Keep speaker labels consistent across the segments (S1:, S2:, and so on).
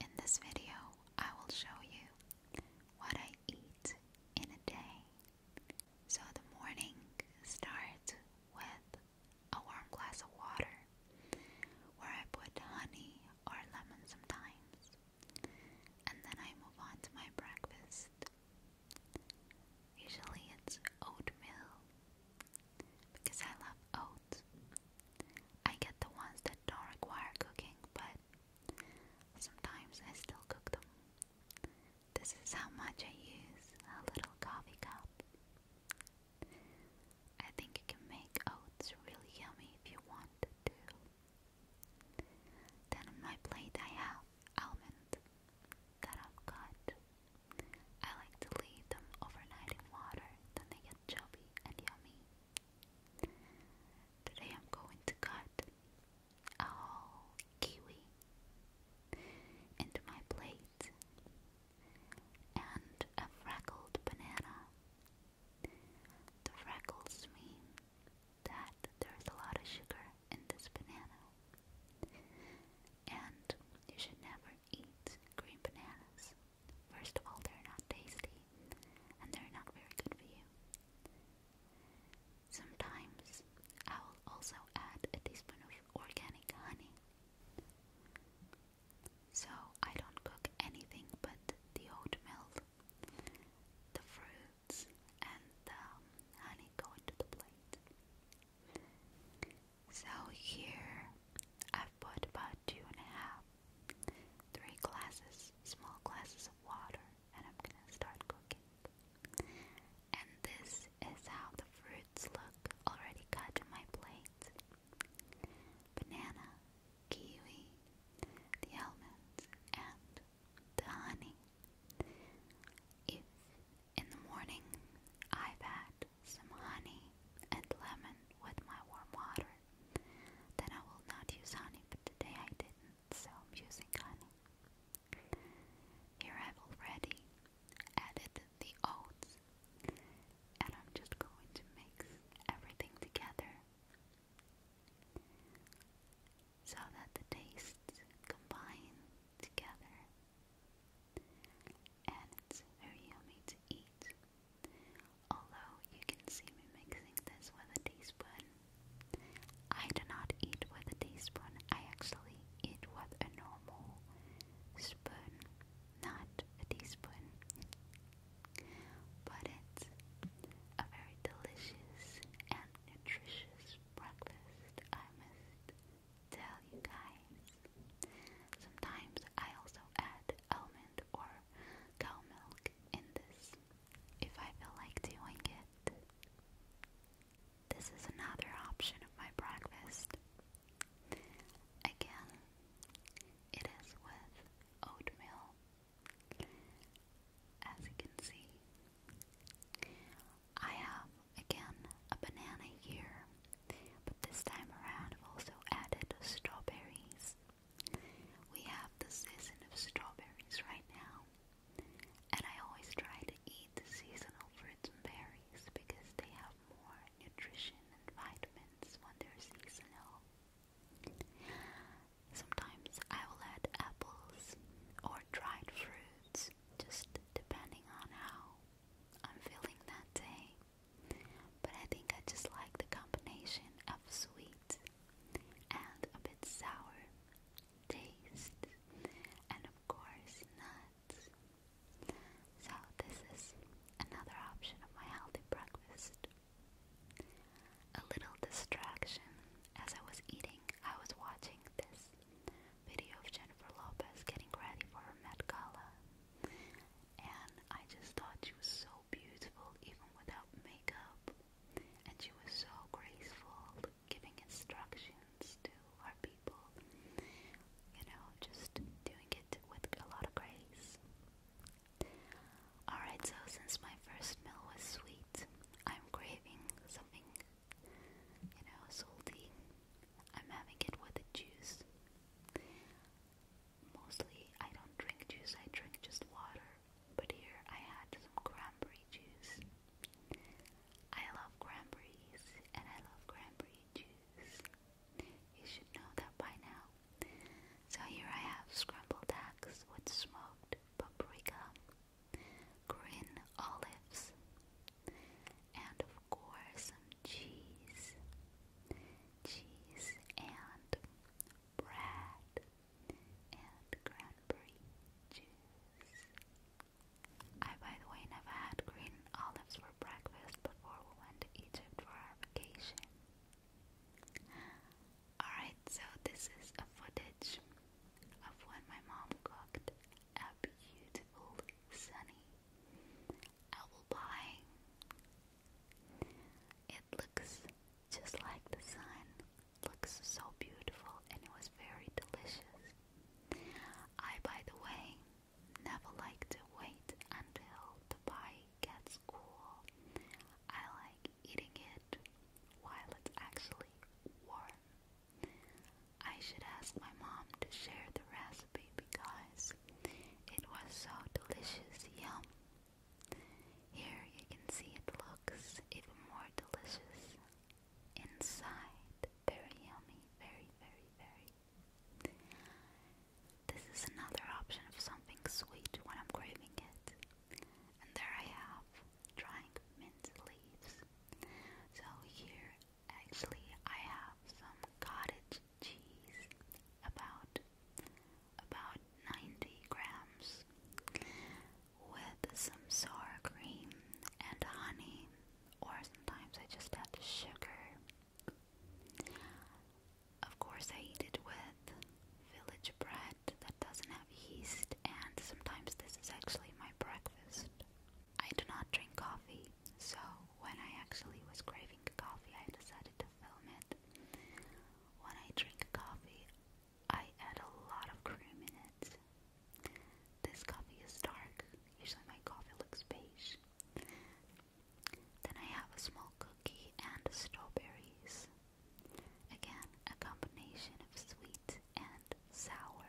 S1: In this video, I will show you what I eat in a day. So the morning starts with a warm glass of water where I put honey or lemon sometimes. And then I move on to my breakfast. Usually it's oatmeal because I love oats. I get the ones that don't require cooking, but sometimes I still cook them. This is how much I use a little coffee cup. I think you can make oats really yummy if you want to. Then on my plate I have almonds that I've cut. I like to leave them overnight in water, then they get chubby and yummy. Today I'm going to cut a whole kiwi into my plate and a freckled banana. The freckles mean that there's a lot of sugar in this banana. And you should never eat green bananas First of all, they're not tasty, and they're not very good for you. Sometimes I will also add a teaspoon of organic honey. So I don't cook anything but the oatmeal, the fruits, and the um, honey go into the plate. So here I've put about two and a half Three glasses, small glasses of water, and I'm gonna start cooking. And this is how the fruits look already cut in my plate. Banana, kiwi, the almonds, and the honey. If in the morning I've had some honey and lemon with my warm water, then I will not use honey, but today I didn't, so I'm using honey. Here I've already added the oats, and I'm just going to mix everything together so that the tastes combine together and it's very yummy to eat. Although you can see me mixing this with a teaspoon, I do not eat with a teaspoon. I actually eat with a normal spoon, not a teaspoon. But it's a very delicious and nutritious breakfast, I must tell you guys. Sometimes I also add almond or cow milk in this if I feel like doing it. This is another option of my breakfast. Again, it is with oatmeal. As you can see, I have again a banana here, but this time around I've also added strawberries. We have the season of strawberries right now, and I always try to eat the seasonal fruits and berries because they have more nutrition and vitamins when they're seasonal. Sometimes I will add apples or dried fruits, just depending on how I'm feeling that day. But I think I just like the combination of sweet and a bit sour taste, and of course, nuts. So, this is another option of my healthy breakfast. A little distraction as I was eating, I was watching this video of Jennifer Lopez getting ready for her Met Gala and I just thought she was so beautiful even without makeup, and she was so graceful, giving instructions to our people, you know, just doing it with a lot of grace. Alright, so since my first meal was sweet, I'm craving something, you know, salty. I'm having it with a juice. Mostly I don't drink juice, I drink just water, but here I had some cranberry juice. I love cranberries and I love cranberry juice. You should know that by now. So here I have scrambled eggs with smoked paprika, green olives, and of course some cheese cheese and bread and cranberry juice. I, by the way, never had green olives for breakfast before we went to Egypt for our vacation. Alright, so this is a footage of when my mom cooked a beautiful sunny I will It looks just like the sun. Looks so beautiful and was very delicious. I, by the way, never like to wait until the pie gets cool. I like eating it while it's actually warm. I should ask my mom to share the recipe because it was so delicious. Yum. Here you can see it looks even more delicious. Inside, very yummy, very, very, very. This is another option of something sweet when I'm craving it. And there I have, drying mint leaves. So here, actually, I have some cottage cheese, about about 90 grams, with some sour cream and honey, or sometimes I just add sugar. Of course, I eat it with village bread that doesn't have yeast, and sometimes this is actually my breakfast. I do not drink coffee, so when I actually was craving coffee, I decided to film it. When I drink coffee, I add a lot of cream in it. This coffee is dark, usually my coffee looks beige. Then I have a small cookie and strawberries. Again, a combination of sweet and sour.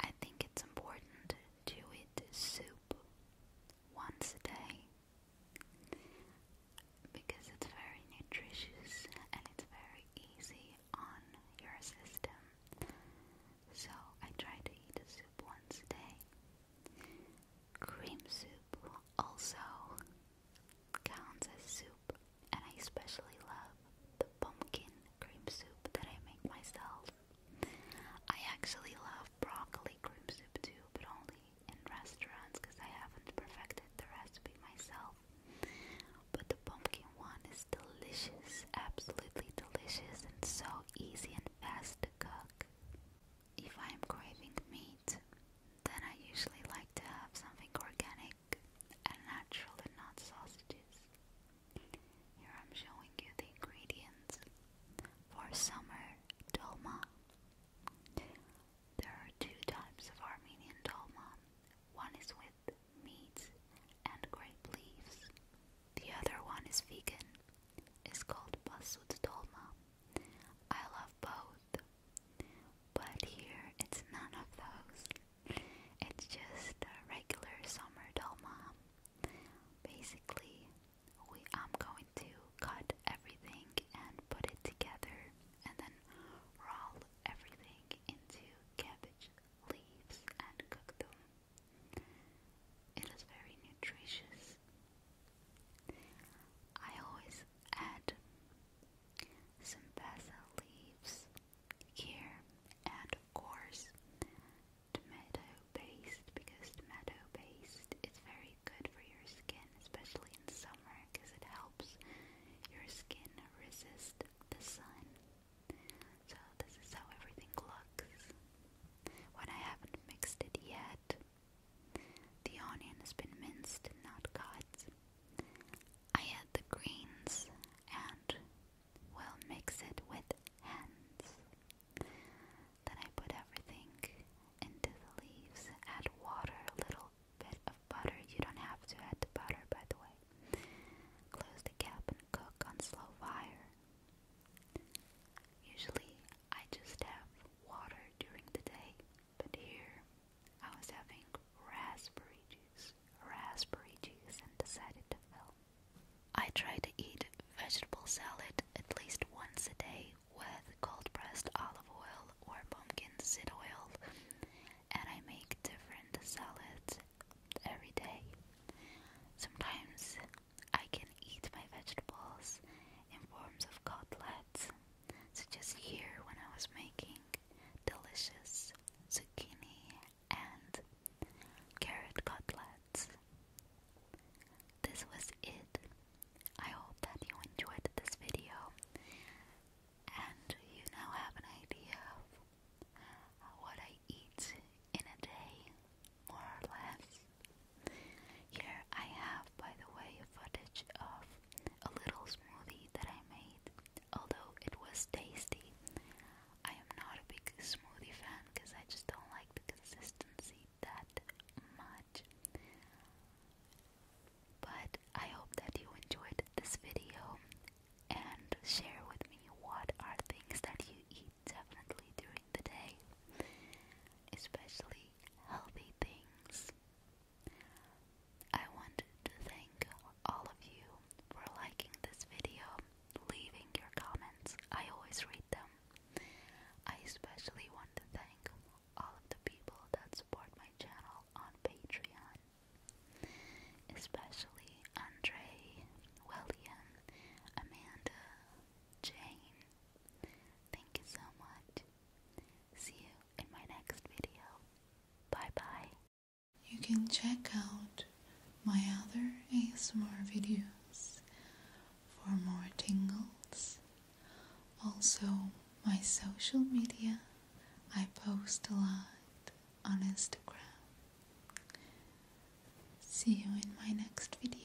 S1: I think it's important to eat soup once a day because it's very nutritious and it's very easy on your system. So I try to eat a soup once a day. Cream soup also counts as soup, and I especially love the pumpkin cream soup that I make myself. I actually love broccoli cream soup too, but only mostly in restaurants because I haven't perfected the recipe myself. But the pumpkin one is delicious, absolutely delicious, and so easy and fast to cook. If I am craving meat, then I usually like to have something organic and natural and not sausages. Here I'm showing you the ingredients for summer dolma. There are two types of Armenian dolma. One is with meats and grape leaves. The other one is vegan. It's called basut dolma. I love both. But here it's none of those. It's just a regular summer dolma. Basically, we I'm going to cut everything and put it together and then roll everything into cabbage leaves and cook them. It is very nutritious. I always add some basil leaves here and of course tomato based because tomato based is very good for your skin, especially in summer because it helps your skin resist the sun. So this is how everything looks. When I haven't mixed it yet, the onion has been minced, not cut. I add the greens and will mix it with hands. Then I put everything into the leaves. Add water, a little bit of butter. You don't have to add butter, by the way. Close the cap and cook on slow fire. Usually, I just have water during the day, but here I was having raspberry juice, raspberry juice, and decided to film. I try to eat vegetable salad at least once a day, with cold pressed olive oil or pumpkin seed oil, and I make different salads every day. Sometimes I can eat my vegetables in forms of cutlets, such as here when I was making delicious zucchini and carrot cutlets. This was it. I hope that you enjoyed this video and you now have an idea of what I eat in a day, more or less. Here I have, by the way, footage of a little smoothie that I made, although it was tasty. I am not a big smoothie fan because I just don't like the consistency that much. But I hope that you enjoyed this video and share with me what are things that you eat definitely during the day, especially healthy things. I want to thank all of you for liking this video, leaving your comments. I always read them I especially want to thank all of the people that support my channel on Patreon, especially Andre, William, Amanda, Jane. Thank you so much. See you in my next video. Bye bye. You can check out my other ASMR videos for more tingles also, my social media, I post a lot on Instagram. See you in my next video.